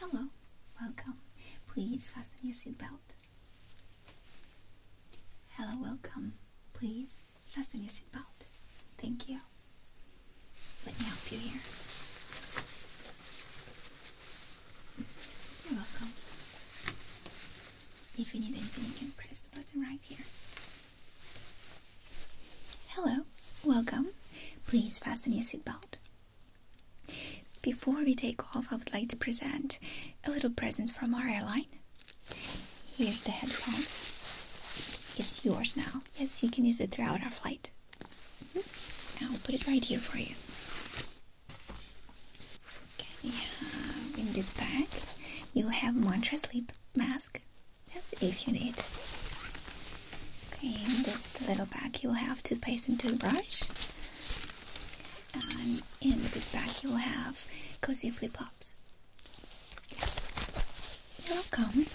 Hello, welcome. Please fasten your seatbelt. Hello, welcome. Please fasten your seatbelt. Thank you. Let me help you here. You're welcome. If you need anything, you can press the button right here. Hello, welcome. Please fasten your seatbelt. Before we take off, I would like to present a little present from our airline. Here's the headphones. It's yours now. Yes, you can use it throughout our flight. Mm-hmm. I'll put it right here for you. Uh, in this bag, you'll have mantra sleep mask. Yes, if you need. Okay, in this little bag you will have toothpaste and toothbrush. Um, and in this bag you will have cozy flip-flops. You're welcome.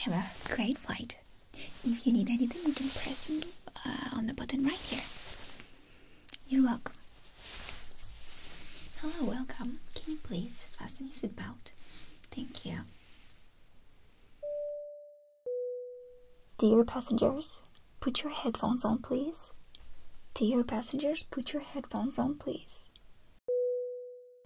Have a great flight. If you need anything, you can press uh, on the button right here. You're welcome. Hello, welcome. Can you please fasten your seatbelt? Thank you. Dear passengers, put your headphones on, please. Dear passengers, put your headphones on, please.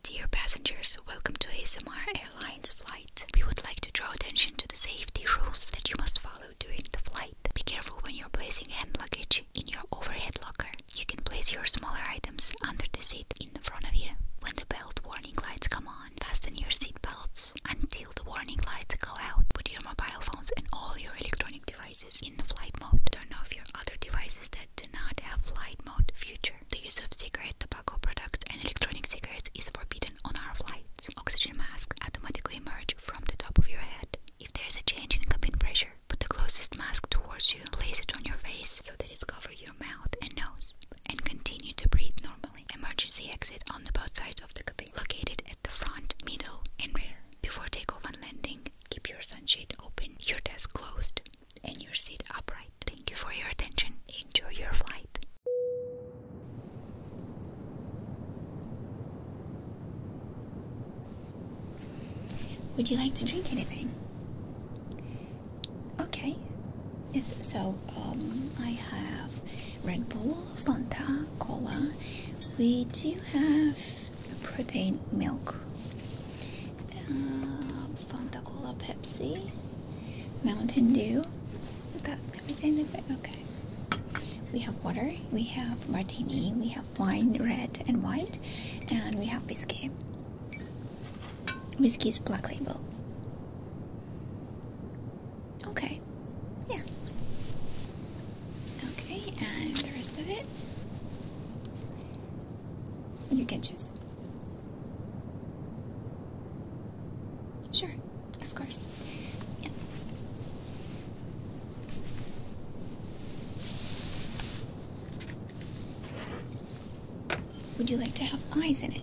Dear passengers, welcome to ASMR Airlines flight. We would like to draw attention to the safety rules that you must follow during the flight. Be careful when you're placing hand luggage in your overhead locker. You can place your smaller items under the seat in the front of you. When the belt warning lights come on, on, fasten your seatbelts until the warning lights go out. Put your mobile phones and all your electronic devices in flight mode. Turn off your other devices that do not have flight mode feature. The use of cigarette, tobacco products, and electronic cigarettes is forbidden on our flights. Oxygen masks automatically emerge from the top of your head. If there is a change in cabin pressure, put the closest mask towards you. Place it on your face so that it covers your mouth and nose and continue to breathe normally. Emergency exit on the both sides of the cabin, located at the front, middle, and rear. Before takeoff and landing, keep your sunshade open, your desk closed, and your seat upright. Thank you for your attention. Enjoy your flight. Would you like to drink anything? Okay. Yes, so um, I have Red Bull, Fanta, Cola. We do have protein milk, uh, Fanta, Cola, Pepsi, Mountain Dew. That everything's okay. We have water, we have martini, we have wine, red and white, and we have whiskey. Whiskey is black label. Okay. Yeah. Okay, and the rest of it? You can choose. Sure, of course. Yeah. Would you like to have eyes in it?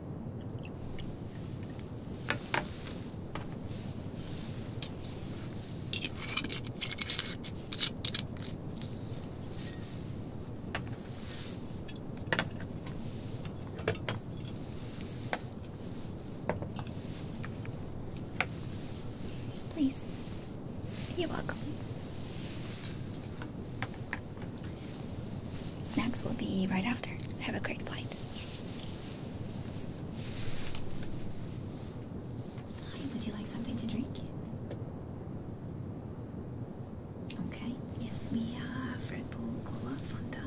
Please. You're welcome. Snacks will be right after. Have a great flight. Hi, would you like something to drink? Okay, yes, we have Red Bull, Cola, Fanta.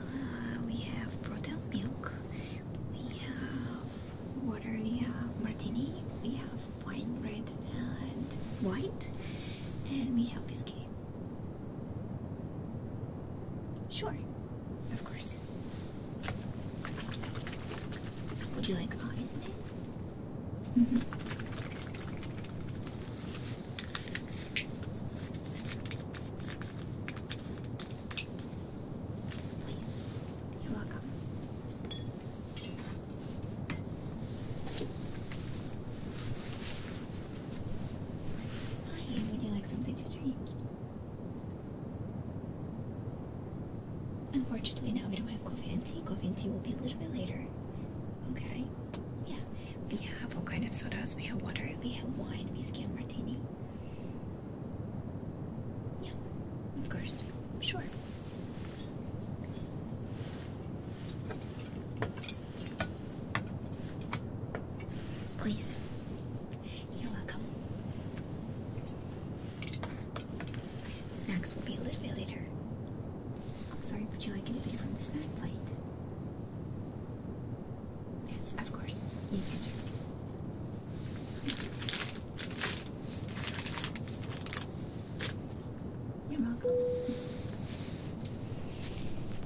Uh, we have protein milk. We have water. We have martini. We have wine, red and white, and we have whiskey. Sure. Of course. Would you like eyes in it? Mm -hmm. Please. You're welcome. Hi, would you like something to drink? Unfortunately, now we don't have coffee and tea. Coffee and tea will be a little bit later. Okay? Yeah. We have all kind of sodas. We have water. We have wine. We and martini. Yeah. Of course. Sure. Please. You're welcome. Snacks will be a little bit later. I'm sorry, would you like anything from the snack plate? Yes, of course. You can check. You're welcome.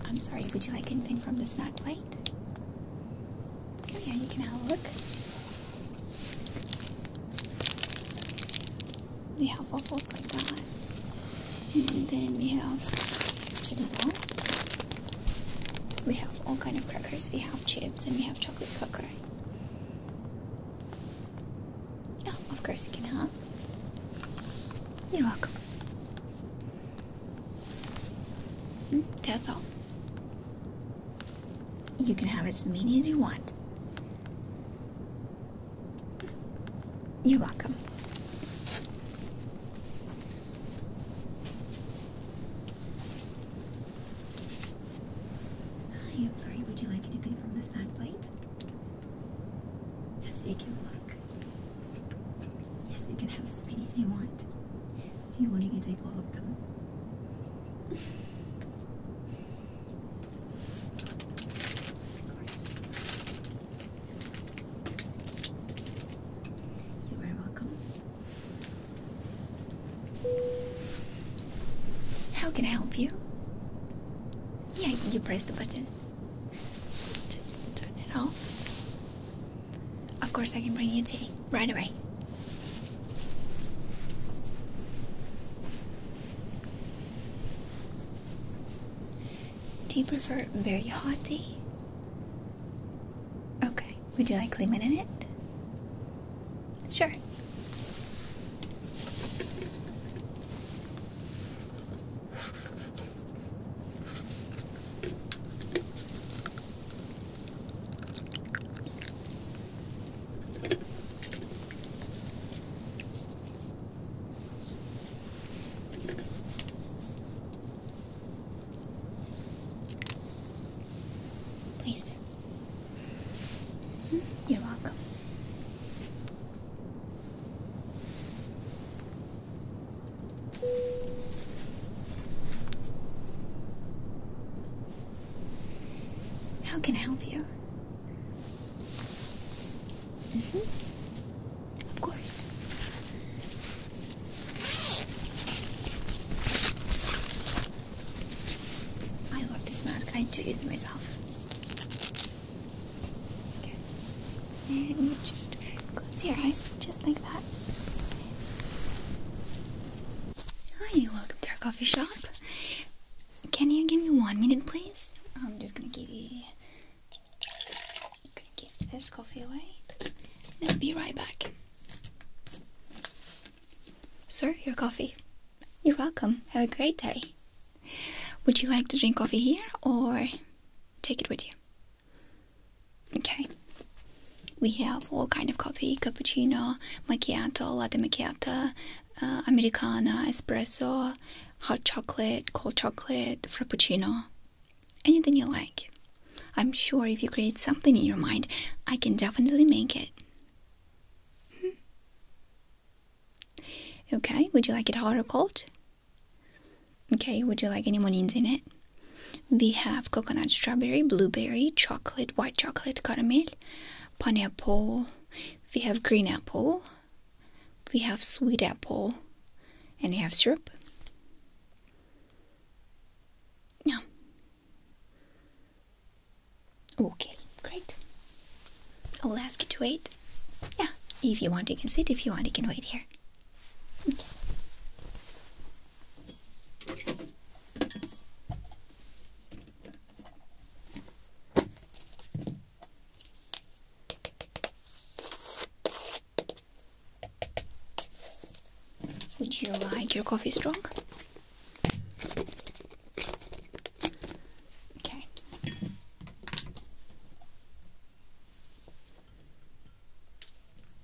I'm sorry, would you like anything from the snack plate? Oh, yeah, you can have a look. We have waffles like that. And then we have jello. We have all kind of crackers. We have chips and we have chocolate cracker. Yeah, of course you can have. You're welcome. That's all. You can have as many as you want. You're welcome. I am sorry, would you like anything from the side plate? Yes, you can. Yes, you can have as many as you want. If you want, you can take all of them. You are welcome. How can I help you? Yeah, you press the button. turn it off. Of course, I can bring you tea right away. Do you prefer very hot tea? Okay, would you like lemon in it? Sure. Please. Hmm, you're welcome. How can I help you? Mm-hmm. Of course. I love this mask. I do use it myself. And just close your eyes just like that. Hi, welcome to our coffee shop. Can you give me one minute, please? I'm just gonna give this coffee away. I'll be right back. Sir, your coffee. You're welcome. Have a great day. Would you like to drink coffee here or take it with you? Okay. We have all kind of coffee, cappuccino, macchiato, latte macchiato, uh, americana, espresso, hot chocolate, cold chocolate, frappuccino, anything you like. I'm sure if you create something in your mind, I can definitely make it. Hmm. Okay, would you like it hot or cold? Okay, would you like any monies in it? We have coconut strawberry, blueberry, chocolate, white chocolate, caramel, pineapple, we have green apple, we have sweet apple, and we have syrup. Yeah. Okay, great. I will ask you to wait. Yeah, if you want, you can sit. If you want, you can wait here. Okay. Would you like your coffee strong? Okay.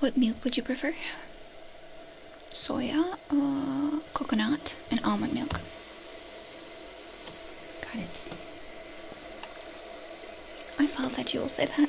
What milk would you prefer? Soya, uh, coconut, and almond milk. Got it. I fault that you will say that.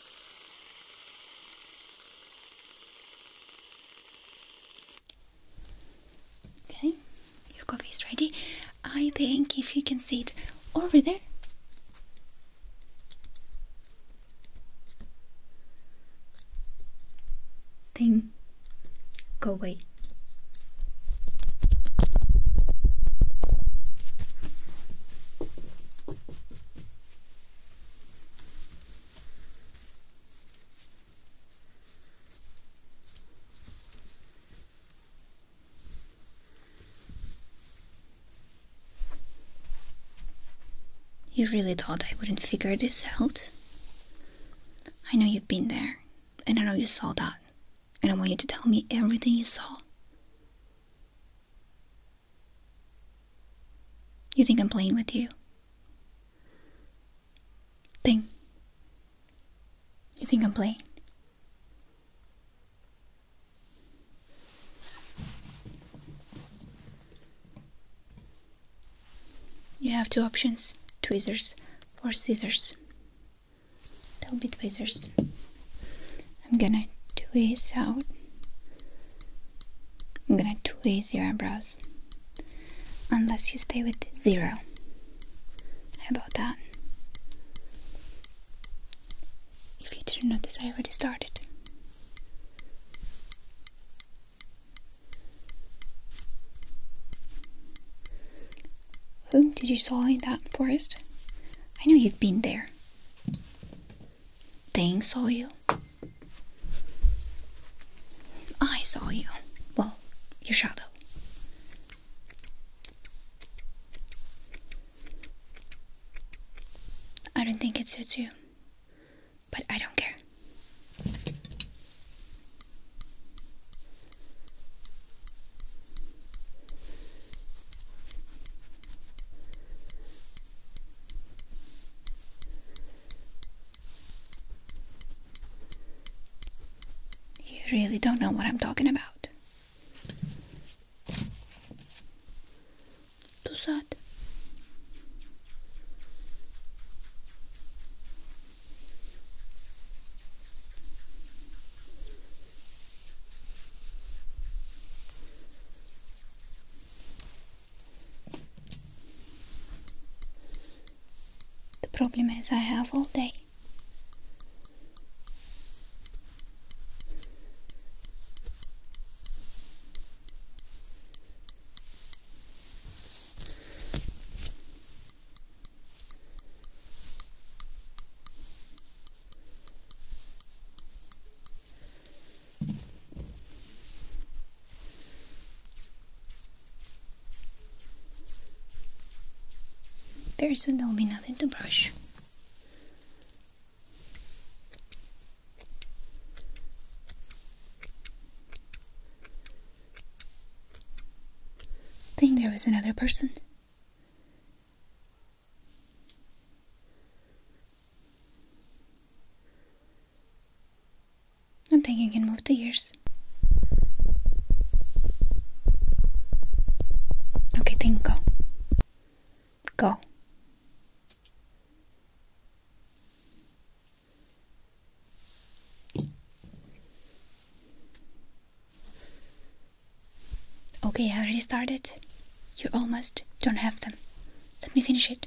Okay, your coffee is ready. I think if you can see it over there. Thing, go away. You really thought I wouldn't figure this out? I know you've been there, and I know you saw that, and I want you to tell me everything you saw. You think I'm playing with you? Think. You think I'm playing? You have two options tweezers or scissors. That will be tweezers. I'm gonna twist out. I'm gonna twist your eyebrows. Unless you stay with zero. How about that? If you didn't notice, I already started. Who did you saw in that forest? I know you've been there. They saw you. I saw you. Well, your shadow. I don't think it suits you, but I don't care. You really don't know what I'm talking about. Tu sad. The problem is I have all day. Very soon there will be nothing to brush. think there was another person. I think you can move the ears. Okay, then go. Go. Okay, I already started. You almost don't have them. Let me finish it.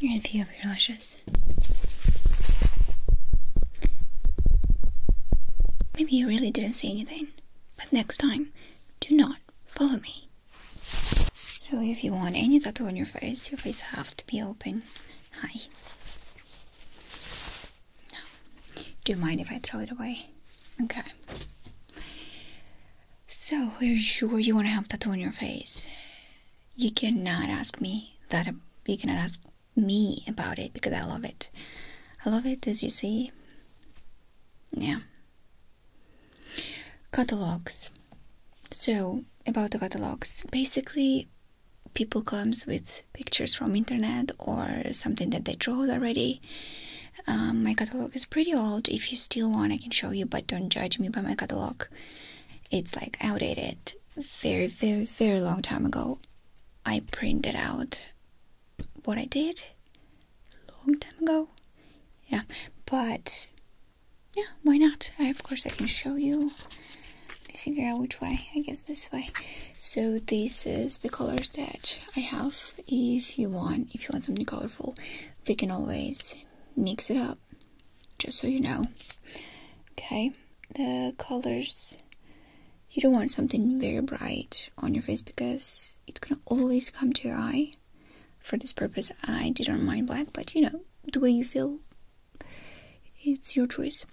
You're going to feel your lashes. Maybe you really didn't see anything, but next time, do not follow me. So if you want any tattoo on your face, your face have to be open. Hi. No. Do you mind if I throw it away? Okay. So are you sure you want to have tattoo on your face? You cannot ask me that. You cannot ask me about it because I love it. I love it as you see. Yeah. Catalogs. So about the catalogs, basically people comes with pictures from internet or something that they drew already. Um, my catalog is pretty old. If you still want, I can show you, but don't judge me by my catalog. It's like outdated, very, very, very long time ago. I printed out what I did long time ago. Yeah, but yeah, why not? I, of course, I can show you. I figure out which way. I guess this way. So this is the colors that I have. If you want, if you want something colorful, we can always mix it up. Just so you know. Okay, the colors. You don't want something very bright on your face because it's gonna always come to your eye. For this purpose, I didn't mind black, but you know, the way you feel, it's your choice.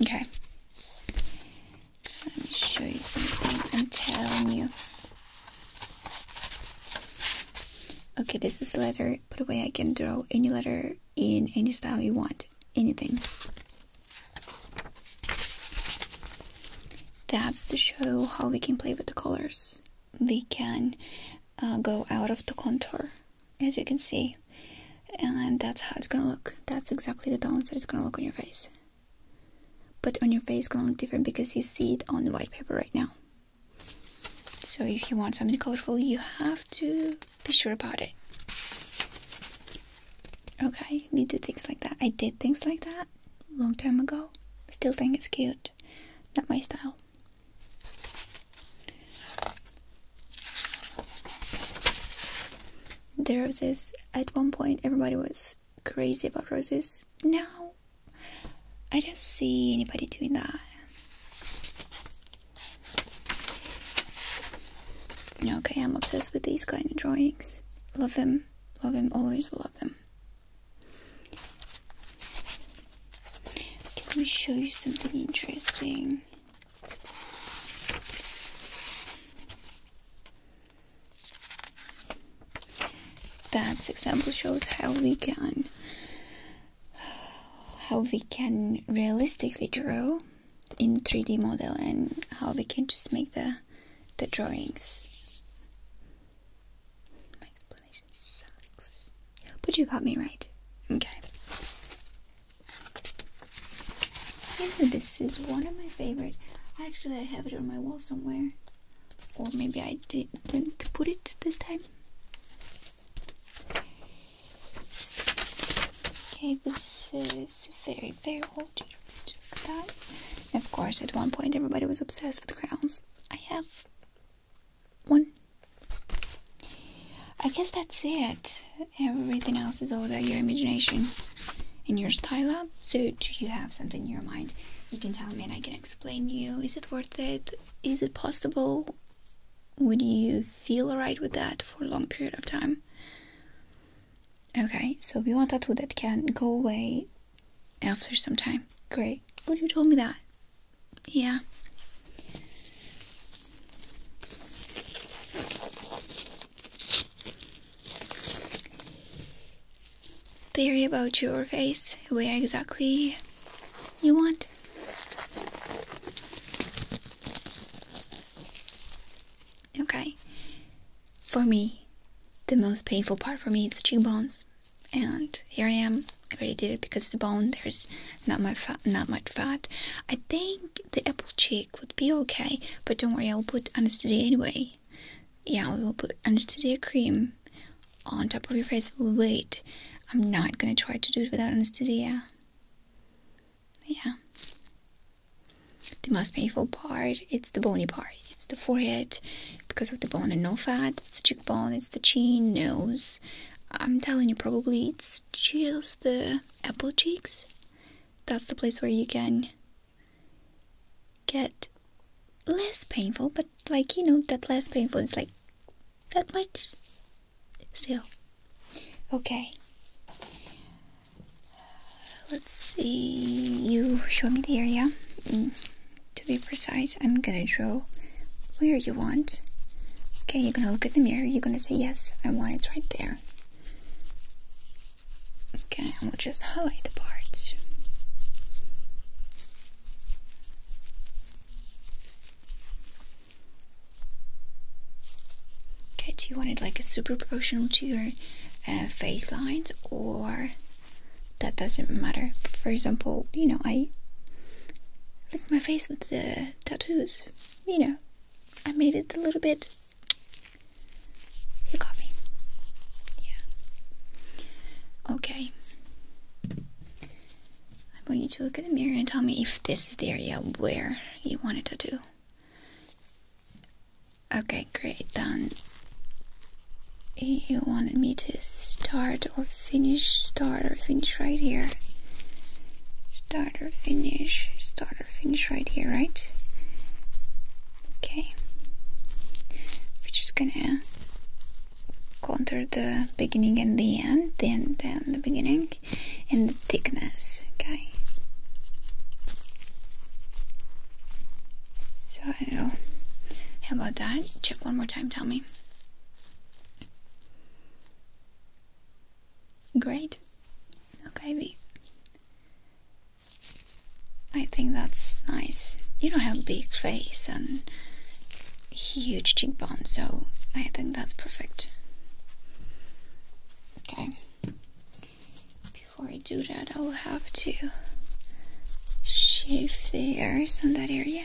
Okay. Let me show you something. I'm telling you. Okay, this is the letter. By the way, I can draw any letter in any style you want. Anything. That's to show how we can play with the colors we can uh, go out of the contour as you can see and that's how it's gonna look that's exactly the tones that it's gonna look on your face but on your face it's gonna look different because you see it on white paper right now so if you want something colorful you have to be sure about it okay we do things like that i did things like that long time ago still think it's cute not my style there was this. at one point, everybody was crazy about roses. Now, I don't see anybody doing that. Okay, I'm obsessed with these kind of drawings. Love them, love them, always will love them. Let me show you something interesting. That example shows how we can how we can realistically draw in 3D model and how we can just make the the drawings. My explanation sucks. But you got me right. Okay. this is one of my favorite. Actually, I have it on my wall somewhere. Or maybe I didn't put it this time. Okay, this is very, very old. Look that. of course, at one point, everybody was obsessed with crowns. I have one. I guess that's it. Everything else is all about your imagination and your style So, do you have something in your mind? You can tell me and I can explain you. Is it worth it? Is it possible? Would you feel alright with that for a long period of time? Okay, so we want a tattoo that can go away after some time. Great. Would oh, you told me that? Yeah. Theory about your face, where exactly you want. Okay. For me, the most painful part for me is cheekbones and here I am. I already did it because the bone there's not my fat, not much fat. I think the apple cheek would be okay, but don't worry, I'll put anesthesia anyway. Yeah, I will put anesthesia cream on top of your face. Wait, I'm not gonna try to do it without anesthesia. Yeah. The most painful part, it's the bony part. It's the forehead because of the bone and no fat cheekbone, it's the chin, nose. I'm telling you, probably it's just the apple cheeks. That's the place where you can get less painful, but like you know, that less painful is like that much still. Okay. Let's see. You show me the area. Mm to be precise, I'm gonna draw where you want. Okay, you're gonna look at the mirror, you're gonna say, Yes, I want it right there. Okay, and we'll just highlight the parts. Okay, do you want it like a super proportional to your uh, face lines or that doesn't matter. For example, you know, I lick my face with the tattoos. You know, I made it a little bit. You got me. Yeah. Okay. I want you to look at the mirror and tell me if this is the area where you want a tattoo. Okay, great. Then you wanted me to start or finish starter finish right here starter finish starter finish right here right okay we're just gonna contour the beginning and the end then then the beginning and the thickness okay so how about that check one more time tell me Great. Okay, V. I think that's nice. You don't have a big face and huge cheekbones, so I think that's perfect. Okay. Before I do that, I will have to shave the hairs on that area.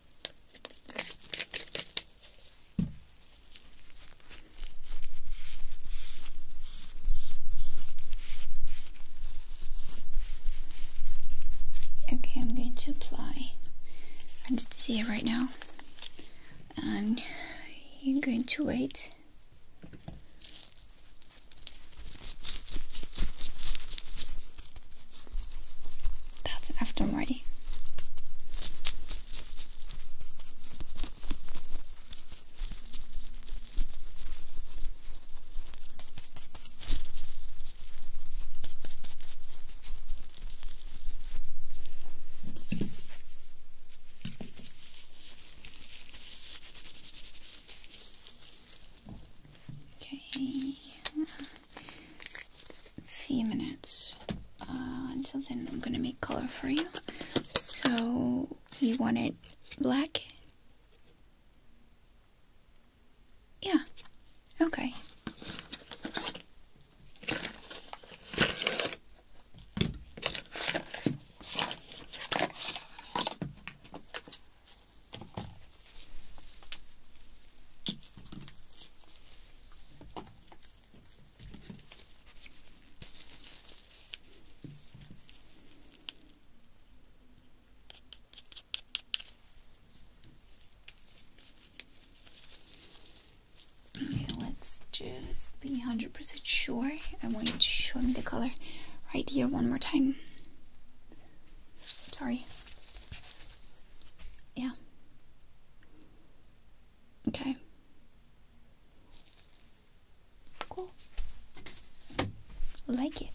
Okay, I'm going to apply I'm just see it right now, and you're going to wait. That's after my Okay few minutes. Uh, until then, I'm gonna make color for you. So, you want it black? Yeah, okay let's just be 100% sure. I want you to show me the color right here one more time. Sorry. Yeah. Okay. Cool. Like it.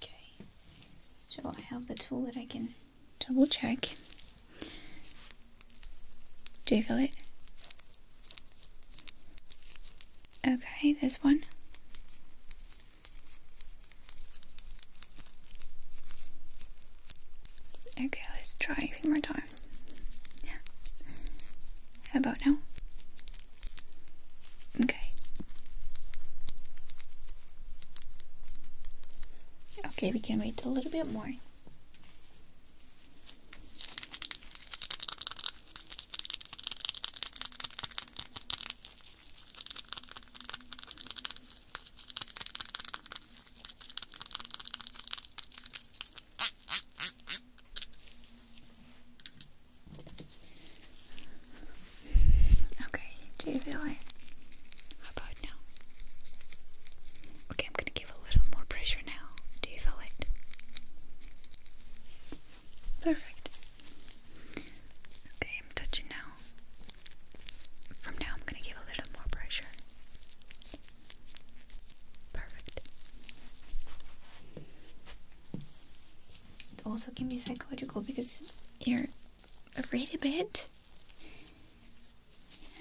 Okay, so I have the tool that I can double check. Do you feel it? Okay, this one. Okay, let's try a few more times. Yeah. How about now? Okay. Okay, we can wait a little bit more. Okay, do you feel it? How about now? Okay, I'm gonna give a little more pressure now. Do you feel it? Perfect. Okay, I'm touching now. From now, I'm gonna give a little more pressure. Perfect. It also can be psychological because you're read a bit.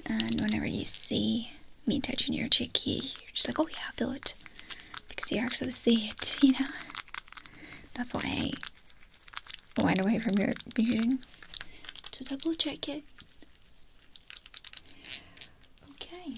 And whenever you see me touching your cheeky, you're just like, oh yeah, feel it. Because you actually see it, you know? That's why I wind away from your vision to double check it. Okay.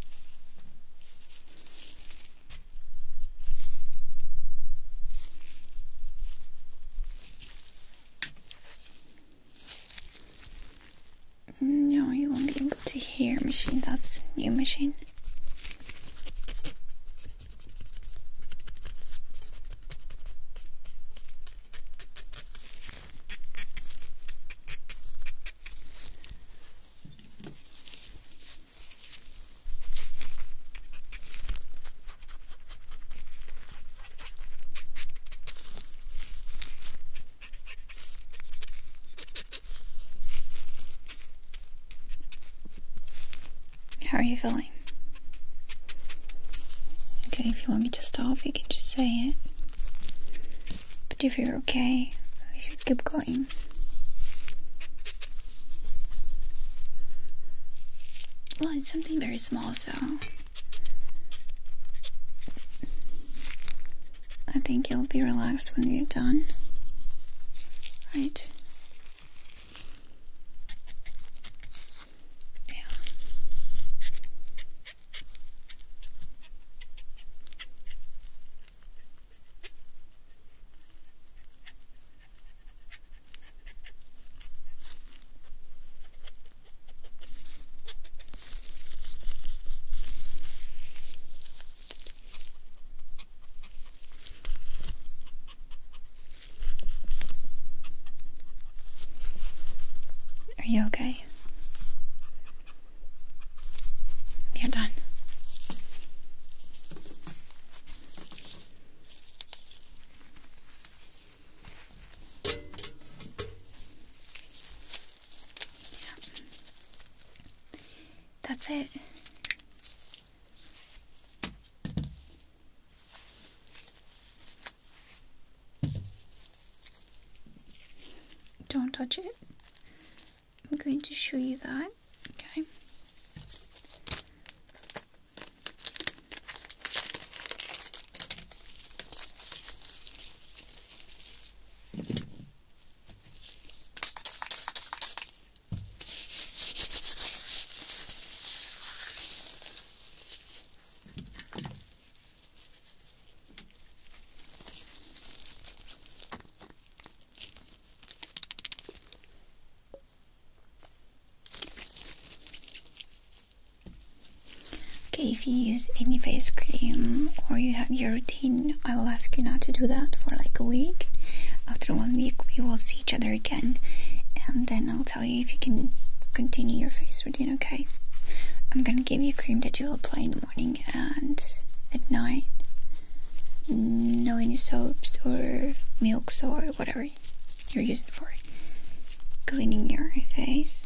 Mm, no, you won't be able to hear machine. That's new machine. How are you feeling? Okay, if you want me to stop, you can just say it. But if you're okay, we should keep going. Well, it's something very small, so I think you'll be relaxed when you're done. Right? Yeah. Are you okay? You're done. Yep. That's it. Don't touch it. I'm going to show you that, okay? Okay, if you use any face cream or you have your routine, I will ask you not to do that for like a week. After one week, we will see each other again, and then I'll tell you if you can continue your face routine. Okay, I'm gonna give you cream that you will apply in the morning and at night. No any soaps or milks or whatever you're using for cleaning your face.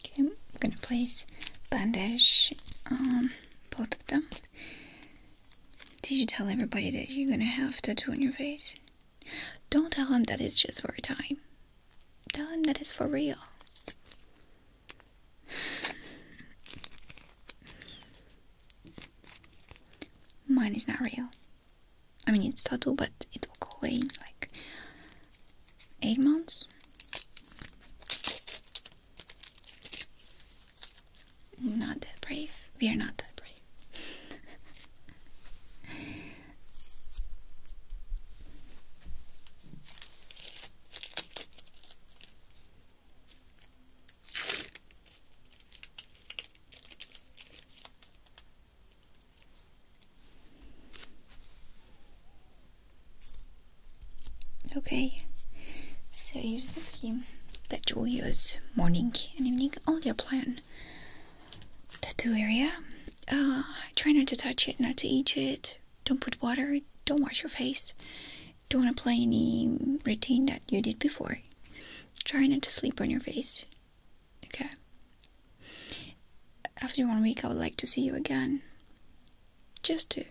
Okay, I'm gonna place bandage on both of them. Did you tell everybody that you're gonna have tattoo on your face? Don't tell them that it's just for a time. Tell them that it's for real. Mine is not real. I mean, it's tattoo, but it will go away like eight months. Not that brave. We are not that brave. Okay, so here's the theme that you will morning and evening on your plan. Tattoo area. Uh, try not to touch it, not to eat it. Don't put water. Don't wash your face. Don't apply any routine that you did before. Try not to sleep on your face. Okay. After one week, I would like to see you again just to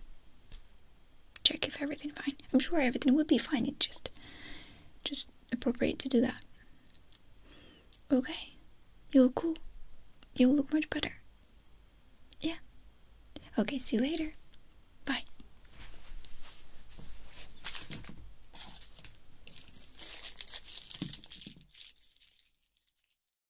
check if everything's fine. I'm sure everything will be fine. It's just, just appropriate to do that. Okay, you look cool. You look much better. Yeah. Okay. See you later. Bye.